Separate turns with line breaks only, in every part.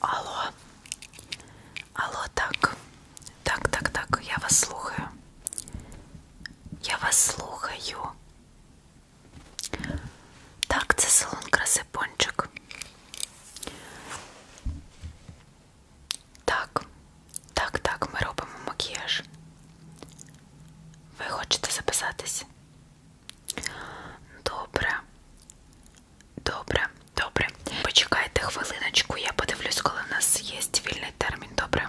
Алло, алло, так, так, так, так, я вас слухаю. Я вас слухаю. Так, це салон краси пончик. Так, так, так, ми робимо макіяж. Ви хочете записатись? Добре. Добре, добре. Почекайте хвилиночку, я подивлюсь, коли в нас є вільний термін, добре?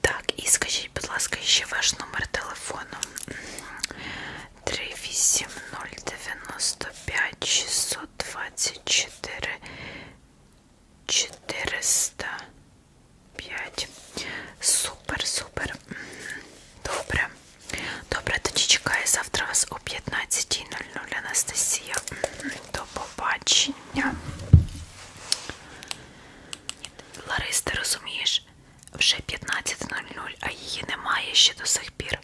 Так, і скажіть, будь ласка, ще ваш номер телефону 38095 624 405. Супер, супер. Добре. Добре, тоді чекаю завтра вас о 15.00 Анастасія. До побачення. Ларис, ти розумієш, вже 15.00, а її немає ще до сих пір.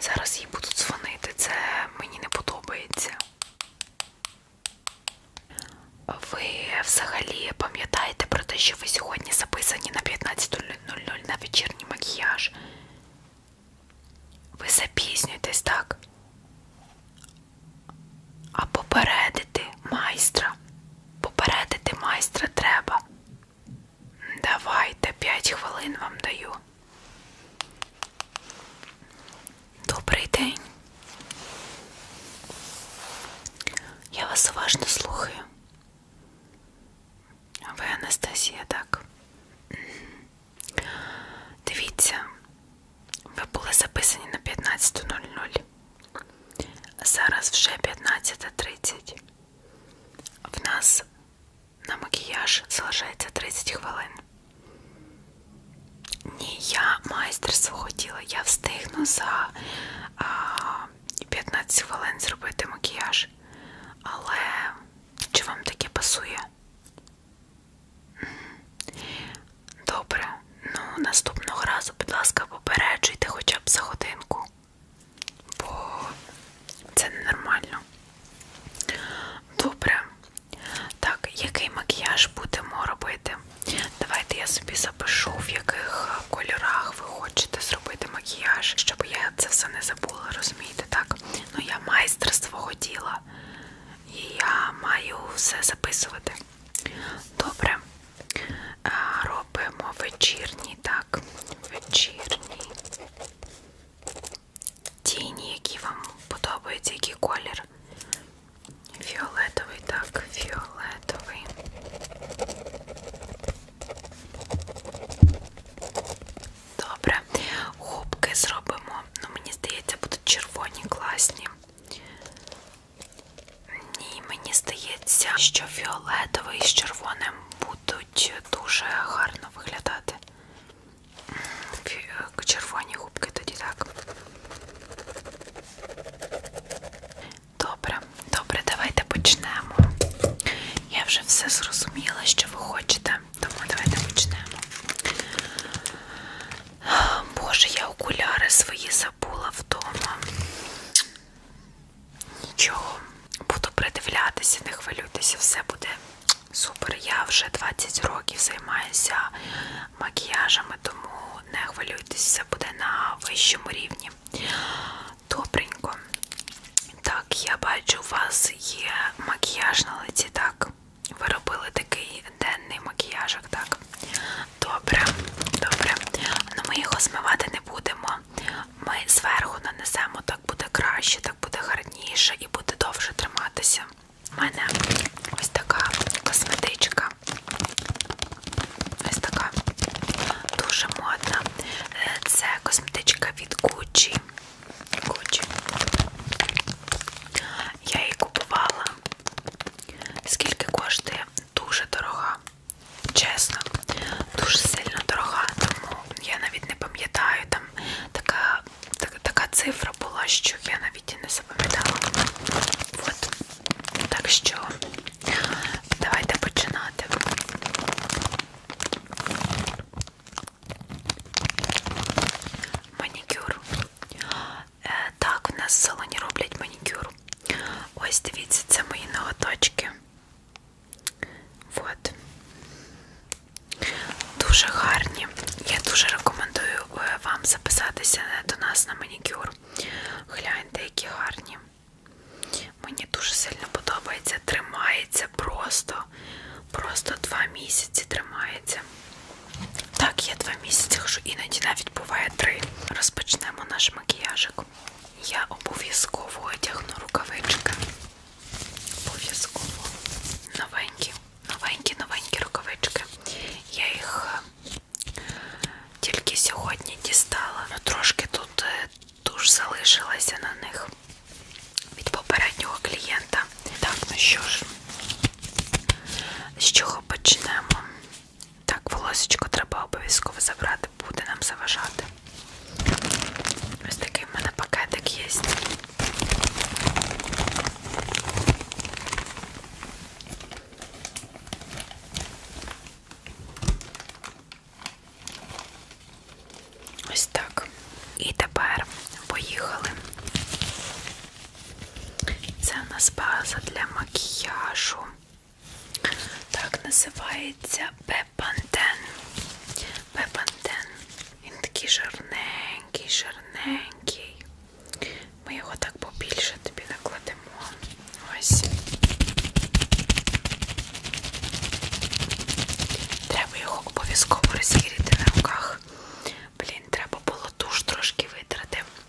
Зараз їй будуть дзвонити, це мені не подобається. Ви взагалі пам'ятаєте про те, що ви сьогодні записані на 15.00 на вечірній макіяж? Ви запізнюєтесь, так? А попередити майстра. Попередити майстра треба. Давайте 5 хвилин вам даю. Добрий день. Я вас уважно слухаю. Ви Анастасія, так? Дивіться, ви були записані на 15.00. Зараз вже 15.30. В нас на макіяж залишається 30 хвилин. Ні, я майстер свого тіла. Я встигну за а, 15 хвилин зробити макіяж. Але чи вам таке пасує? Добре, ну наступного разу, будь ласка, попереджуйте хоча б за годинку, бо це ненормально. Добре. Так, який макіяж будемо робити? Давайте я собі запишу, в яких е, кольорах ви хочете зробити макіяж, щоб я це все не забула, розумієте, так? Ну я майстер свого діла. І я маю все записувати. Добре. Робимо вечірні, так, вечірні тіні, які вам подобаються, який колір. Фіолетовий, так, фіолетовий. Добре. Губки зробимо, ну мені здається, будуть червоні класні. Ні, мені здається, що фіолетовий з червоним будуть дуже гарно виглядати. Е, червоні губки тоді так. Добре, добре, давайте почнемо. Я вже все зрозуміла, що ви хочете, тому давайте почнемо. Боже, я окуляри свої забула вдома. Нічого, буду придивлятися, не хвилюйтеся, все буде супер. Я вже 20 років займаюся макіяжами, тому не хвилюйтеся, все буде на вищому рівні. Добренько. Так, я бачу, у вас є макіяж на лиці, так? Ви робили такий денний макіяжик, так? Добре, добре. Ну ми його змивати не будемо. Ми зверху нанесемо, так буде краще, так буде гарніше і буде довше триматися. У мене ось така косметичка. Ось така дуже модна. Е, це косметичка від Gucci. Gucci. Я її купувала Скільки коштує? Дуже дорога. Чесно, дуже сильно дорога, тому я навіть не пам'ятаю, там така, так, така цифра була, що я навіть і не запам'ятала. От. Так що давайте починати. Манікюр. Е, так, в нас в салоні роблять манікюр. Ось дивіться, це мої ноготочки. От. Дуже гарні. Я дуже рекомендую е, вам записатися е, до нас на манікюр. Гляньте, які гарні. Мені дуже сильно подобається, тримається просто. Просто два місяці тримається. Так, я два місяці хожу, іноді навіть буває три. Розпочнемо наш макіяжик. Я обов'язково одягну рукавички. Обов'язково новенькі, новенькі, новенькі рукавички. Я їх е, тільки сьогодні дістала. Ну, трошки тут туш е, залишилася на них від попереднього клієнта. Так, ну що ж, з чого почнемо? Так, волосечко треба обов'язково забрати, буде нам заважати. Ось такий в мене пакетик є. Ось так. І тепер поїхали. Це у нас база для макіяжу. Так називається Пепантен. Пепантен. Він такий жирненький, жирненький. Ми його так побільше тобі накладемо. Ось. Треба його обов'язково розігріти на руках. Блін, треба було туш трошки витрати.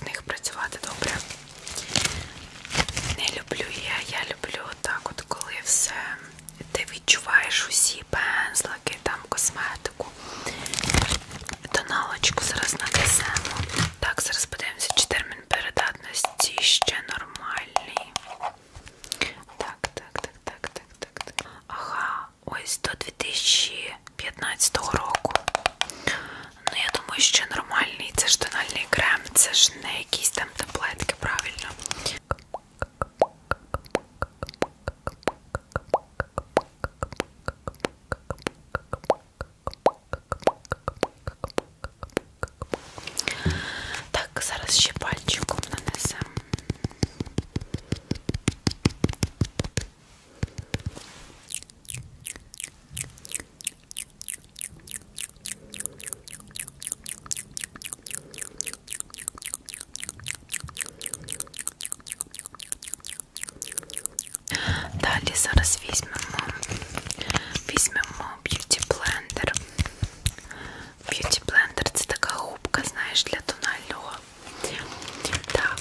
в них працювати добре. Не люблю я, я люблю так, от коли все ти відчуваєш усі пензлики, там косметику. Тоналочку зараз нанесемо. Так, зараз подивимося, чи термін передатності ще нормальний. Так, так, так, так, так, так. Ага, ось до 2000 2015 року. Ну, я думаю, що нормальний, це ж тональний крем, це ж не якісь там таблетки, правильно. Так, зараз ще пальчиком нанесемо. Далі зараз візьмемо, візьмемо Beauty Blender. Beauty Blender це така губка, знаєш, для тонального. Так,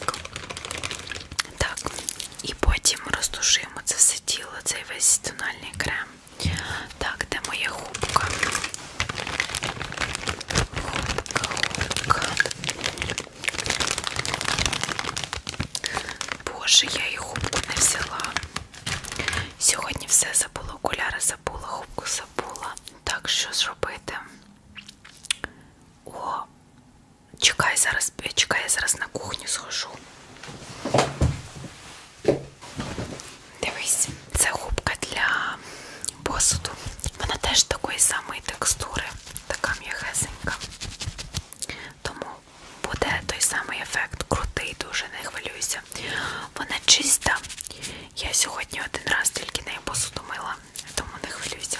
так, і потім розтушуємо це все тіло, цей весь тональний крем. Так, де моя губка? Губка, губка. Боже, я її губку не взяла. Сьогодні все забула, окуляри забула, губку забула. Так, що зробити? О, Чекай зараз, е, чекай, я зараз на кухню схожу. Дивись, це губка для посуду. Вона теж такої самої текстури, така м'яхесенька. Тому буде той самий ефект, крутий, дуже не хвилююся. Вона чиста. Я сьогодні один раз тільки нею посуду мила, тому не хвилюйся.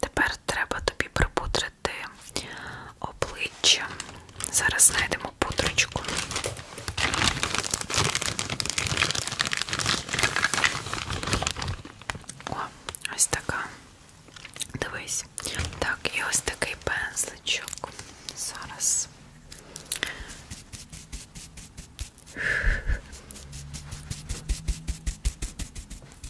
Тепер треба тобі припудрити обличчя. Зараз знайдемо пудрочку. О, ось така. Дивись. Так, і ось такий пензличок. Зараз.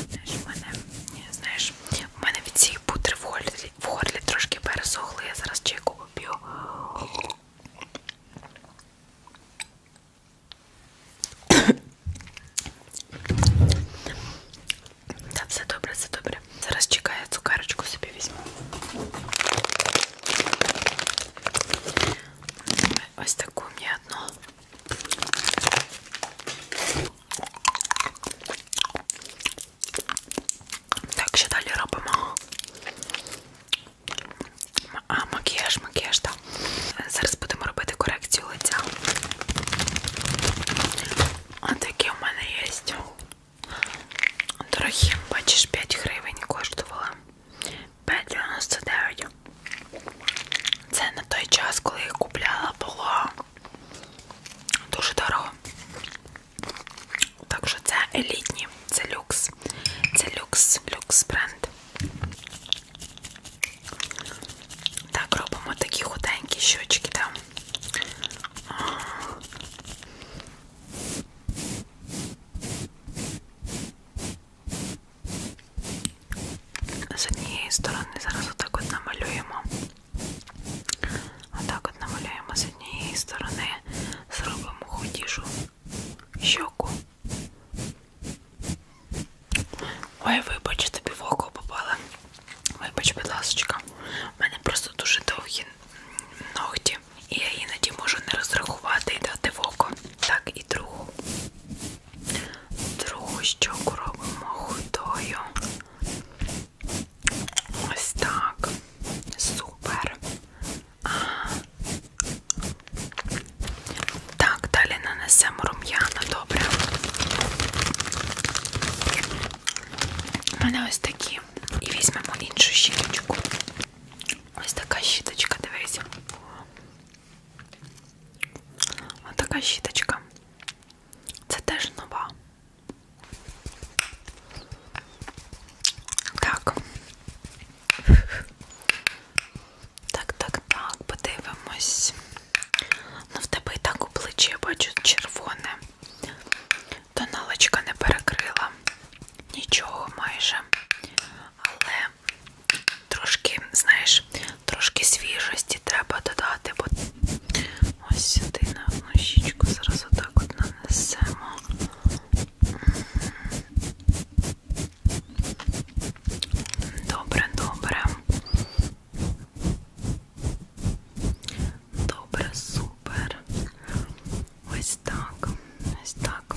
Знаєш, в мене, знаєш, у мене від цієї путри в горлі, в горлі трошки пересохли, я зараз чайку поп'ю. Та все добре, все добре. Зараз чекаю, цукарочку собі візьму. Ось таку мені одну. Так, що далі робимо? А, макіяж, макіяж, так. Зараз будемо робити корекцію лиця. А такі у мене є. Дорогі, бачиш, 5 гривень коштувала. 5,99. Це на той час, коли їх купляла, було дуже дорого. Так що це елітні, це люкс, це люкс, люкс бренд. Так, робимо такі худенькі щочки там. З однієї сторони зараз отак от намалюємо. Отак от намалюємо з однієї сторони, зробимо худішу щоку. Ой, вибач, тобі в око попала. Вибач, будь ласочка. У мене просто дуже довгі ногті руки. І я іноді можу не розрахувати і дати в око. Так, і другу. Другу щоку робимо худою. Ось так. Супер. А. Так, далі нанесемо рум'яна, добре. У мене ось такі. І візьмемо іншу щіточку. Ось така щіточка, дивись. Ось така щіточка. Це теж нова. Так. Так, так, так, подивимось. Ну, в тебе і так у плечі я бачу червоне. Тоналочка не перекрила. Нічого майже але трошки, знаєш, трошки свіжості треба додати, бо ось сюди на одну щічку зараз отак от нанесемо. Добре, добре. Добре, супер. Ось так, ось так.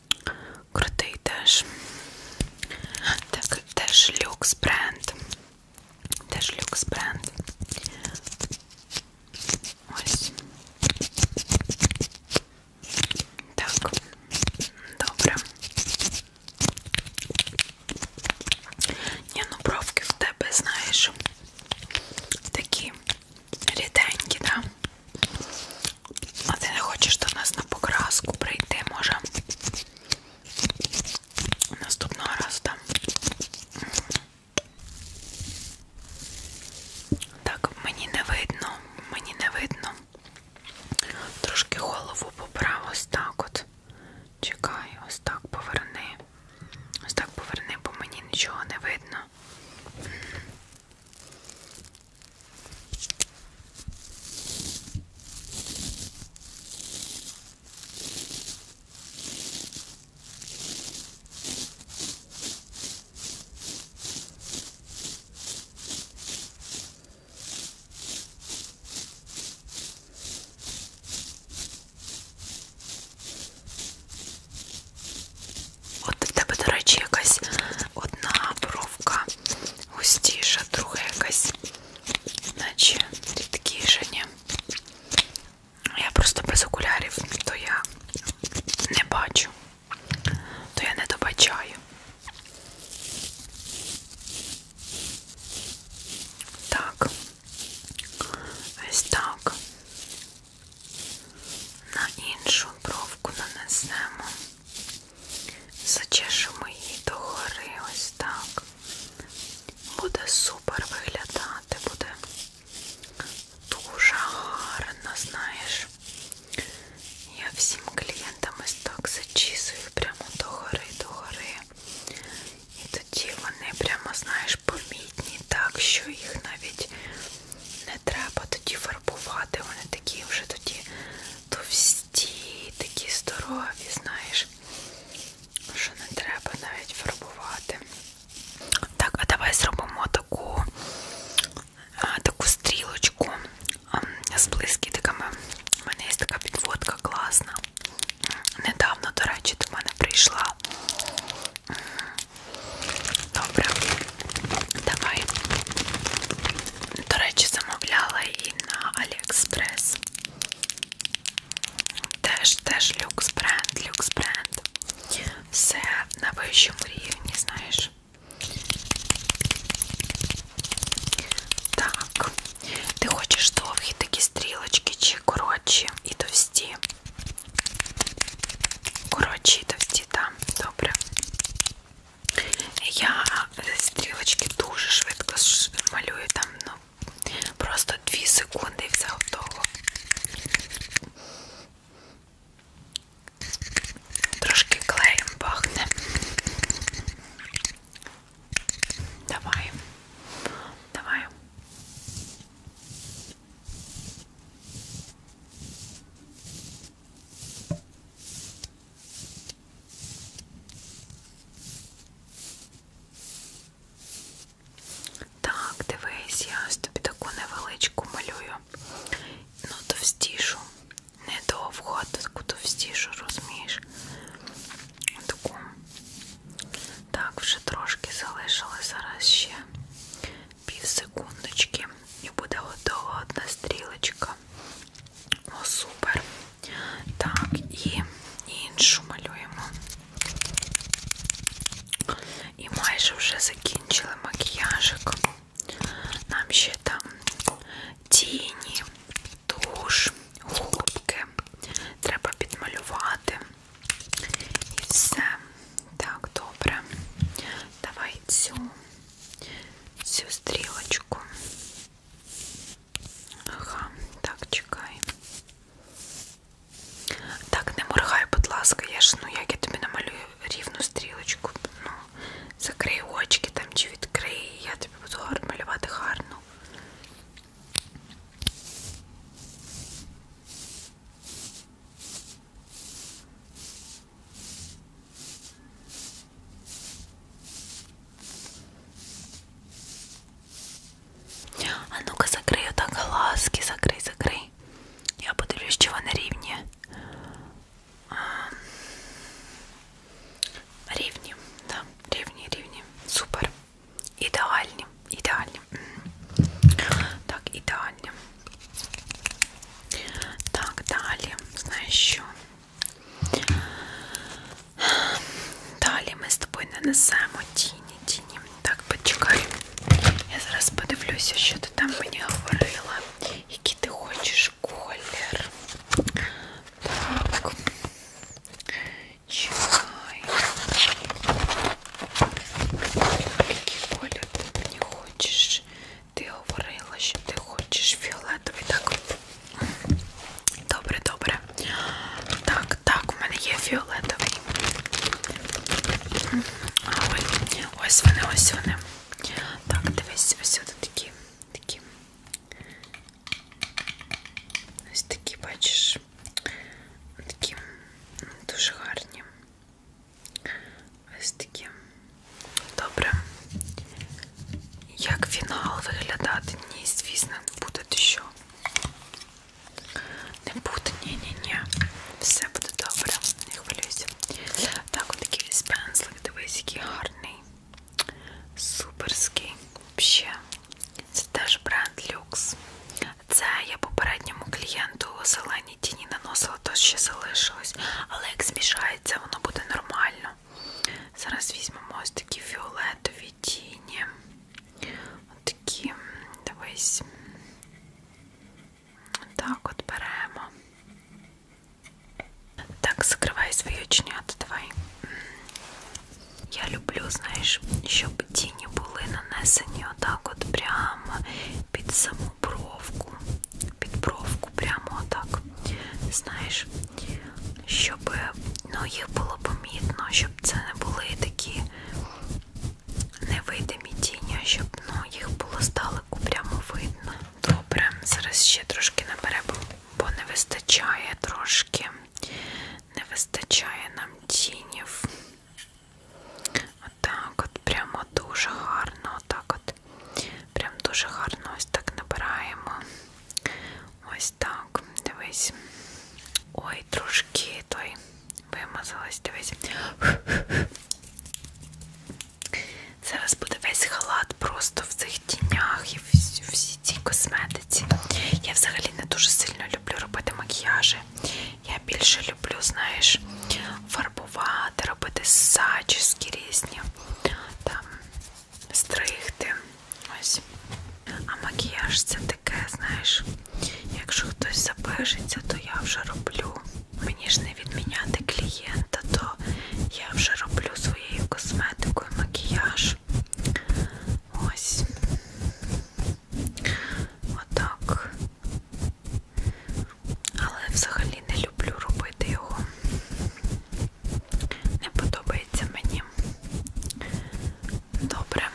Крутий теж. Так, теж люкс бренд. Теж люкс бренд. Ось. Так, добре. Ні, ну бровки в тебе, знаєш, такі ріденькі, да? А ти не хочеш до нас на покраску прийти, може? Наступного разу там. Так, мені не видно, мені не видно. Трошки голову поправ, ось так от. Чекай, ось так поверни. Ось так поверни, бо мені нічого не видно. От в тебе, до речі, якась одна бровка густіша, друга якась, наче рідкіша, ні. Я просто без окулярів, то я не бачу, то я не добачаю. Так, ось так. На іншу бровку нанесемо. Зачешемо її догори ось так. Буде супер виглядати, буде дуже гарно, знаєш. Я всім клієнтам ось так зачісую прямо догори, догори. І тоді вони прямо, знаєш, помітні, так, що їх навіть не треба тоді фарбувати. Вони такі вже тоді товсті, такі здорові, знаєш, що не треба навіть фарбувати. Так, а давай зробимо таку а, таку стрілочку а, з блискітками. У мене є така підводка класна. Недавно, до речі, до мене прийшла. Добре, давай до речі, замовляла і на Aliexpress. Теж, теж люкс бренд, люкс бренд. Все на вищому рівні, знаєш. Так, ти хочеш довгі такі стрілочки чи коротші і товсті? Коротші і товсті, так, добре. Я стрілочки дуже швидко малюю там, ну, просто 2 секунди і все готово. Трошки клеєм пахне. Давай. Давай. Так, дивись, я ось тобі таку невеличку малюю. Ну, товстішу. Не довго, а таку товстішу, розумієш? Таку. Так, вже трошки залишили зараз ще пів секундочки. І буде готова одна стрілочка. О, супер. Так, і іншу малюємо. І майже вже закінчили макіяжик. Нам ще там тіні, туш, губки. Треба підмалювати. І все. Так, добре. Давай цю, цю стрілочку. Ага, так, чекай. Так, не моргай, будь ласка, я ж, ну як я тобі намалюю рівну стрілочку. Ну, Закрий очки там чи відкрий, я тобі буду малювати гарно. А ну-ка закрий отак глазки, закрий, закрий. Я подивлюсь, чи вони рівні. А... Рівні, так, да. рівні, рівні. Супер. Ідеальні, ідеальні. Так, ідеальні. Так, далі. Знаєш що? Далі ми з тобою нанесемо тіні, тіні. Так, почекай. Я зараз подивлюся, що ти там мені говорила, який ти хочеш колір. Так. Чекай. Який колір ти мені хочеш? Ти говорила, що ти хочеш фіолетовий. Так. Добре, добре. Так, так, у мене є фіолетовий. Ой, ось вони, ось вони. Так, дивись, ось тут такі. такі. Ось такі, бачиш. Такі ну, дуже гарні. Ось такі. Добре. Як фінал виглядати? Ні, звісно, не буде що. Не буде, ні-ні-ні. Все буде добре, не хвилюйся. Так, от такий весь пензлик, дивись, який гарний. Суперський. Взагалі. Це теж бренд люкс. Це я попередньому клієнту зелені тіні наносила, то ще залишилось. Але як змішається, воно буде нормально. Зараз візьмемо ось такі фіолетові тіні. Ось такі, дивись. Так, от беремо. Так, закривай свої очнята, давай. Я люблю, знаєш, щоб тіні були нанесені отак от прямо під саму бровку. Під бровку прямо отак знаєш, щоб ну, їх було помітно, щоб це не були такі невидимі тіні, щоб ну, їх було здалеку прямо видно. Добре, зараз ще трошки наберемо, бо не вистачає трошки, не вистачає нам тінів. Отак от, от прямо дуже гарно, отак от, прям дуже гарно ось так набираємо. Ось так, дивись. Ой, трошки той вимазалась, дивись. Зараз буде весь халат просто в цих тінях і в всій цій косметиці. Я взагалі не дуже сильно люблю робити макіяжі. Я більше люблю, знаєш, фарбувати, робити зачіски різні. Там стригти. Ось. А макіяж це таке, знаєш, якщо хтось запишеться, то я вже роблю. Мені ж не відміняти клієнта, то я вже роблю своєю косметикою макіяж. Ось. Отак. Але взагалі не люблю робити його. Не подобається мені. Добре,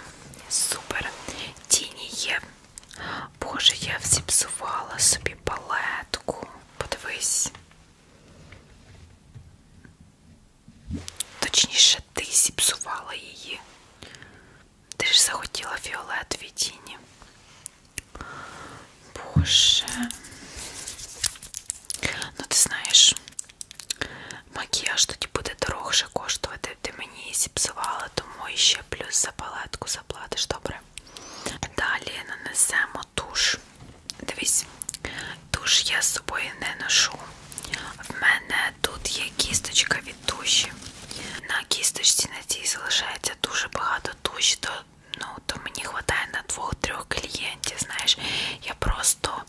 супер. Тіні є. Боже, я всі псувала собі палетку. Подивись. Точніше, ти зіпсувала її. Ти ж захотіла фіолетові тіні. Боже. Ну, ти знаєш, макіяж тоді буде дорогше коштувати. Ти мені її зіпсувала, тому і ще плюс за палетку заплатиш, добре. Далі нанесемо туш. Дивись, туш я з собою не ношу. В мене тут є кісточка від туші. На кісточці на цій залишається дуже багато туші, то, ну, то мені вистачає на двох-трьох клієнтів, знаєш, я просто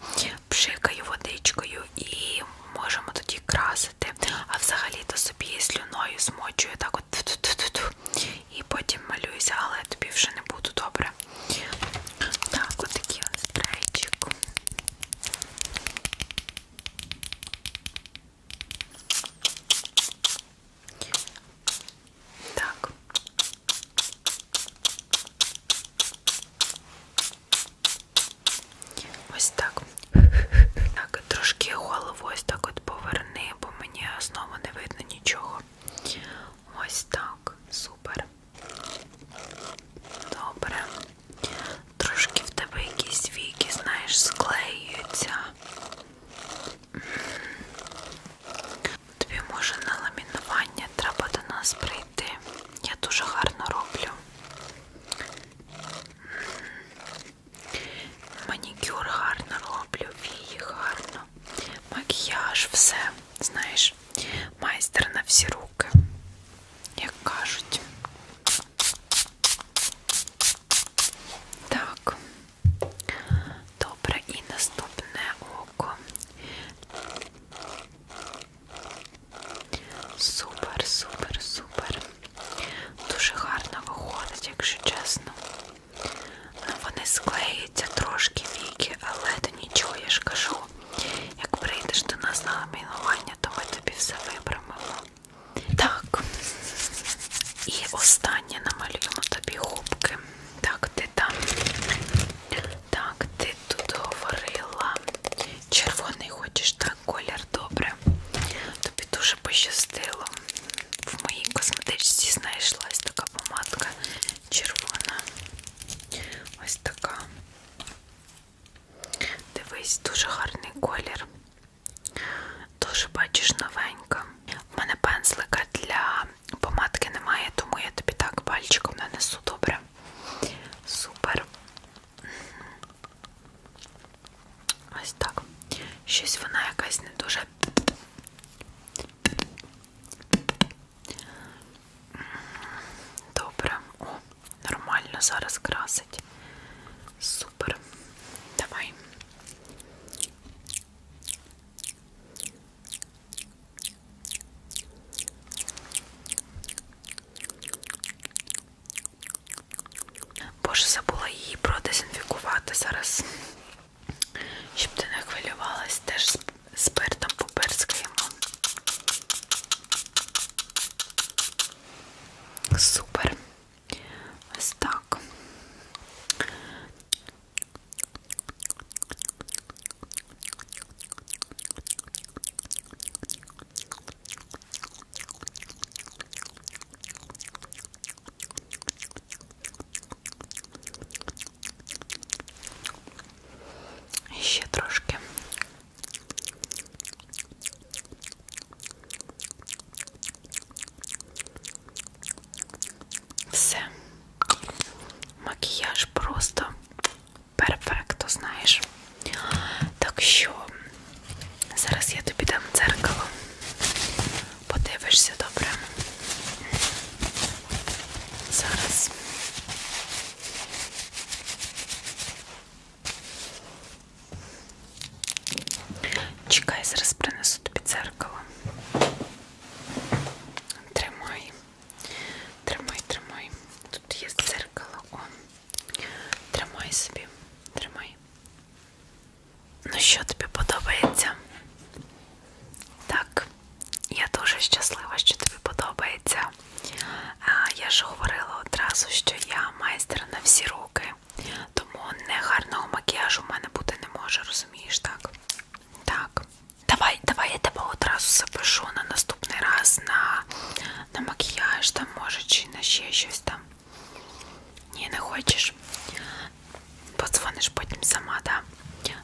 пшикаю водичкою і можемо тоді красити. А взагалі-то собі слюною змочую так от ту -ту -ту -ту, і потім малююся, але тобі вже не буду добре. Так, отакий от спрейчик. Так. Ось так. Так, трошки голову ось так от поверни, бо мені знову не видно нічого. Ось так. Супер. Добре. Трошки в тебе якісь віки, знаєш, склеюються. Тобі може на ламінування треба до нас прийти. Я дуже гарно роблю. Манікюр гарно роблю, вії гарно, макіяж, все, знаєш, майстер на всі руки, як кажуть. Так, Добре, і наступне око. Супер, супер, супер. Дуже гарно виходить, якщо чесно. Ну, вони склеюються трошки віки, але то нічого, я ж кажу. Як прийдеш до нас на ламінування, то ми тобі все випрямимо. Так. І останнє намалюємо тобі губки. Так, ти там. Так, ти тут говорила. Червоний хочеш, так, колір добре. Тобі дуже пощастило. В моїй косметичці знайшлась така помадка червона. Ось така. Дивись, дуже гарний колір. Дуже бачиш новенька. У мене пензлика для Помадки немає, тому я тобі так пальчиком нанесу добре. Супер. Ось так. Щось вона якась не дуже. Добре. О, нормально зараз красить. Супер. Давай. Боже, забула її продезінфікувати зараз. Щоб ти не хвилювалась теж спиртом поперскаємо. Супер. Ось так. Ще трошки. Все. Макіяж просто перфекто, знаєш. Так що зараз я тобі дам дзеркало. Подивишся добре. Зараз. Чекай, зараз принесу тобі дзеркало. Тримай. Тримай, тримай. Тут є дзеркало. О. Тримай собі, тримай. Ну що тобі подобається? Так, я дуже щаслива, що тобі подобається. Я ж говорила одразу, що я майстер на всі руки, тому негарного макіяжу в мене бути не може, розумієш, так? Так. Давай, давай я тебе одразу запишу на наступний раз на на макіяж там, може, чи на ще щось там. Ні, не хочеш. Подзвониш потім сама, да?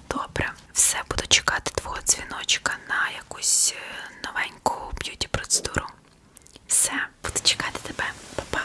Добре. Все, буду чекати твого дзвіночка на якусь е, новеньку б'юті процедуру. Все, буду чекати тебе. Па-па.